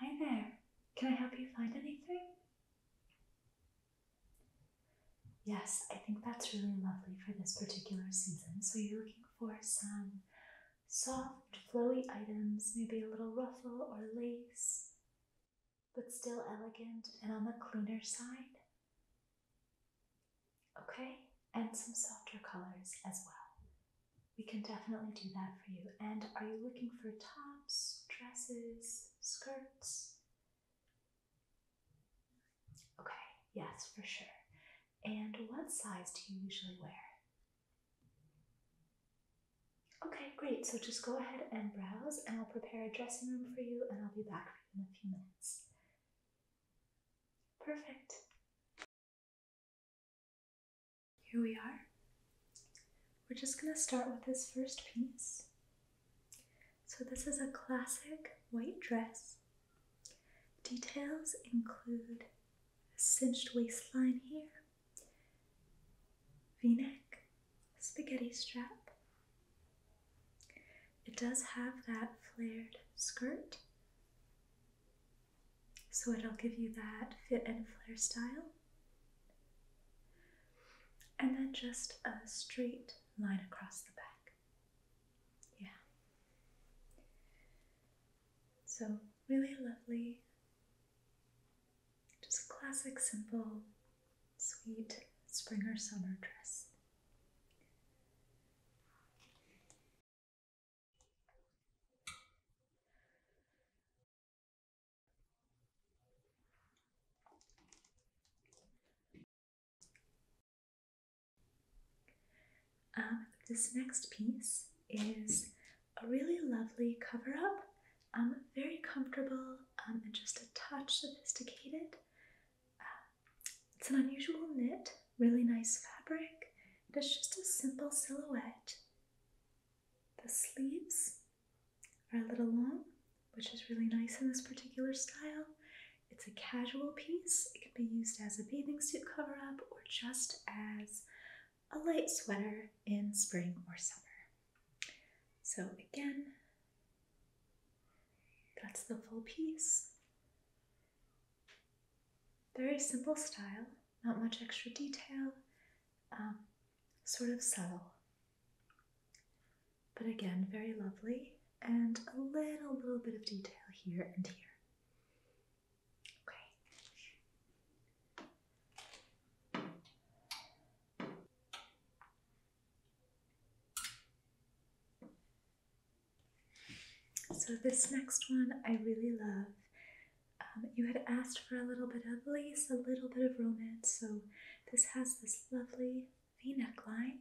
Hi there. Can I help you find anything? Yes, I think that's really lovely for this particular season. So you're looking for some soft, flowy items, maybe a little ruffle or lace, but still elegant and on the cleaner side. Okay, and some softer colors as well. We can definitely do that for you. And are you looking for tops, dresses, skirts? Okay, yes, for sure. And what size do you usually wear? Okay, great. So just go ahead and browse, and I'll prepare a dressing room for you, and I'll be back for you in a few minutes. Perfect. Here we are. We're just going to start with this first piece. So this is a classic white dress. Details include a cinched waistline here, v-neck, spaghetti strap. It does have that flared skirt so it'll give you that fit and flare style. And then just a straight line across the back. Yeah. So, really lovely, just classic, simple, sweet spring or summer dress. Um, this next piece is a really lovely cover up, very comfortable um, and just a touch sophisticated. Uh, it's an unusual knit, really nice fabric, it's just a simple silhouette. The sleeves are a little long, which is really nice in this particular style. It's a casual piece. It can be used as a bathing suit cover up or just as a light sweater in spring or summer. So again, that's the full piece. Very simple style, not much extra detail, um, sort of subtle, but again, very lovely, and a little, little bit of detail here and here. So, this next one I really love. Um, you had asked for a little bit of lace, a little bit of romance, so this has this lovely V neckline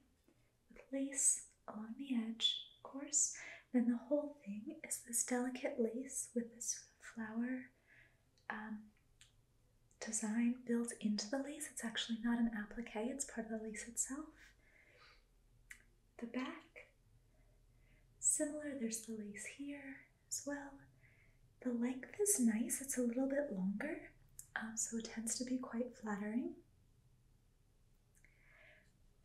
with lace along the edge, of course. Then the whole thing is this delicate lace with this flower um, design built into the lace. It's actually not an applique, it's part of the lace itself. The back, similar, there's the lace here as well. The length is nice, it's a little bit longer, um, so it tends to be quite flattering.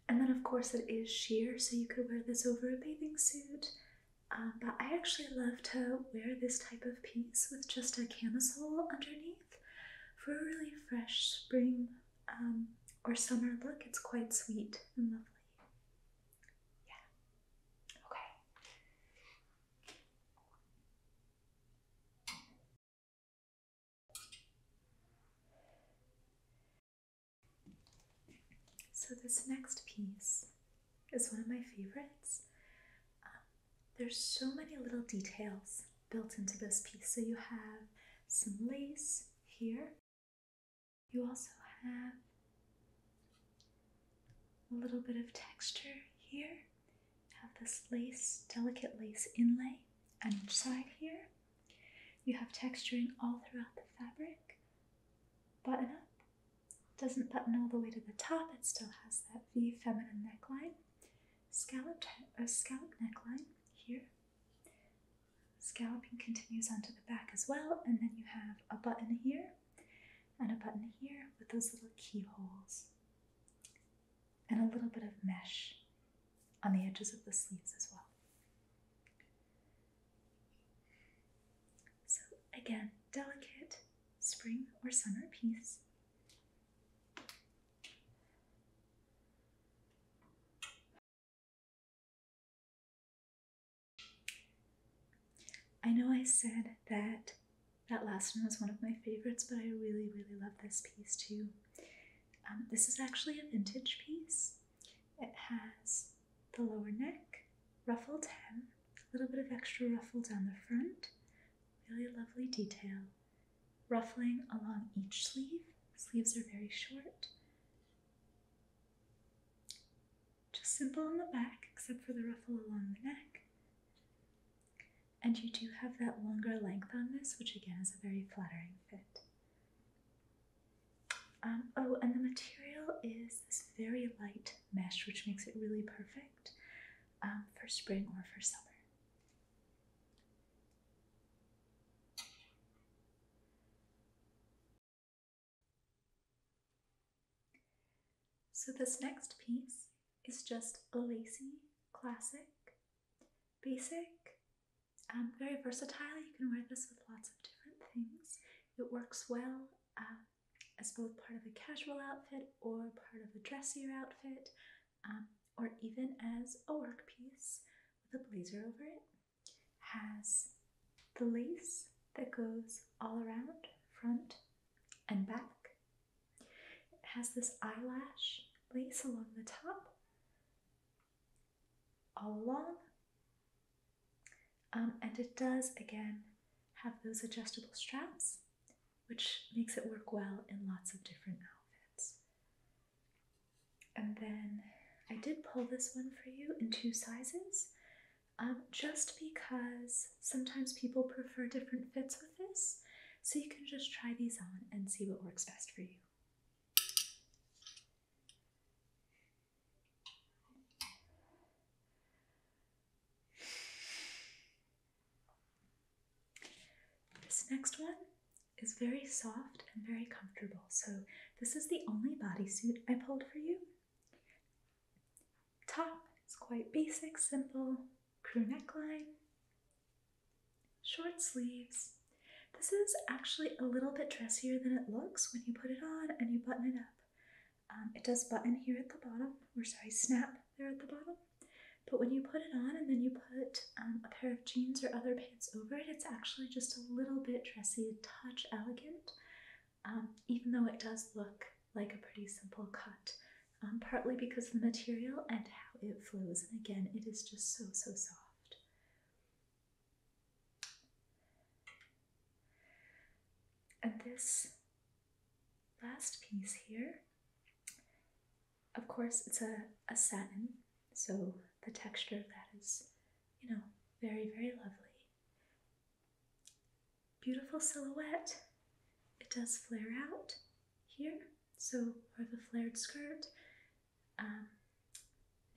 And then, of course, it is sheer, so you could wear this over a bathing suit. Um, but I actually love to wear this type of piece with just a camisole underneath for a really fresh spring um, or summer look. It's quite sweet and lovely. Yeah. Okay. So, this next piece is one of my favorites. Um, there's so many little details built into this piece. So, you have some lace here you also have a little bit of texture here. You have this lace, delicate lace inlay on each side here. You have texturing all throughout the fabric. Button up. Doesn't button all the way to the top, it still has that V feminine neckline. Scalloped, or uh, scallop neckline here. Scalloping continues onto the back as well, and then you have a button here and a button here with those little keyholes and a little bit of mesh on the edges of the sleeves as well. So, again, delicate spring or summer piece. I know I said that that last one was one of my favorites, but I really, really love this piece too. Um, this is actually a vintage piece. It has the lower neck, ruffled hem, a little bit of extra ruffle down the front, really lovely detail, ruffling along each sleeve. Sleeves are very short just simple on the back, except for the ruffle along the neck. And you do have that longer length on this, which again is a very flattering fit. Um, oh, and the material is this very light mesh, which makes it really perfect um, for spring or for summer. So this next piece is just a lacy, classic, basic, um, very versatile. You can wear this with lots of different things. It works well uh, as both part of a casual outfit or part of a dressier outfit, um, or even as a work piece with a blazer over it has the lace that goes all around front and back. It has this eyelash lace along the top, all along. Um, and it does again have those adjustable straps, which makes it work well in lots of different outfits. And then I did pull this one for you in two sizes um, just because sometimes people prefer different fits with this. So you can just try these on and see what works best for you. This next one is very soft and very comfortable. So this is the only bodysuit I pulled for you. Top is quite basic, simple, crew neckline, short sleeves. This is actually a little bit dressier than it looks when you put it on and you button it up. Um, it does button here at the bottom, or sorry, snap there at the bottom. But when you put it on and then you put um, a pair of jeans or other pants over it, it's actually just a little bit dressy, touch elegant. Um, even though it does look like a pretty simple cut, um, partly because of the material and how it flows. And again, it is just so, so soft. And this last piece here, of course, it's a, a satin, so the texture of that is, you know, very, very lovely. Beautiful silhouette. It does flare out here, so or the flared skirt. Um,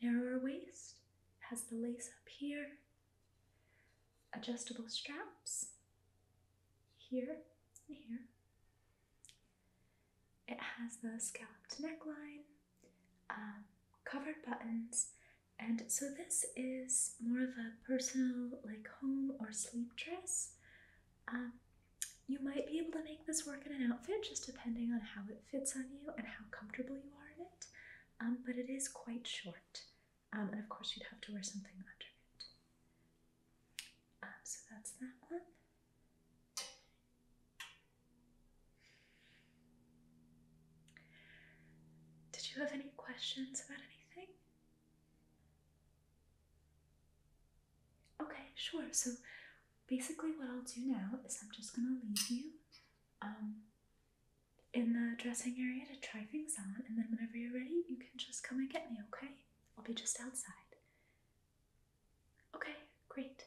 narrower waist, has the lace up here, adjustable straps here and here. It has the scalloped neckline um, covered buttons. And so this is more of a personal, like home or sleep dress. Um, you might be able to make this work in an outfit, just depending on how it fits on you and how comfortable you are in it. Um, but it is quite short. and of course, you'd have to wear something under it. so that's that one. Did you have any questions about anything? Okay, sure. So basically, what I'll do now is I'm just gonna leave you um, in the dressing area to try things on, and then whenever you're ready, you can just come and get me, okay? I'll be just outside. Okay, great.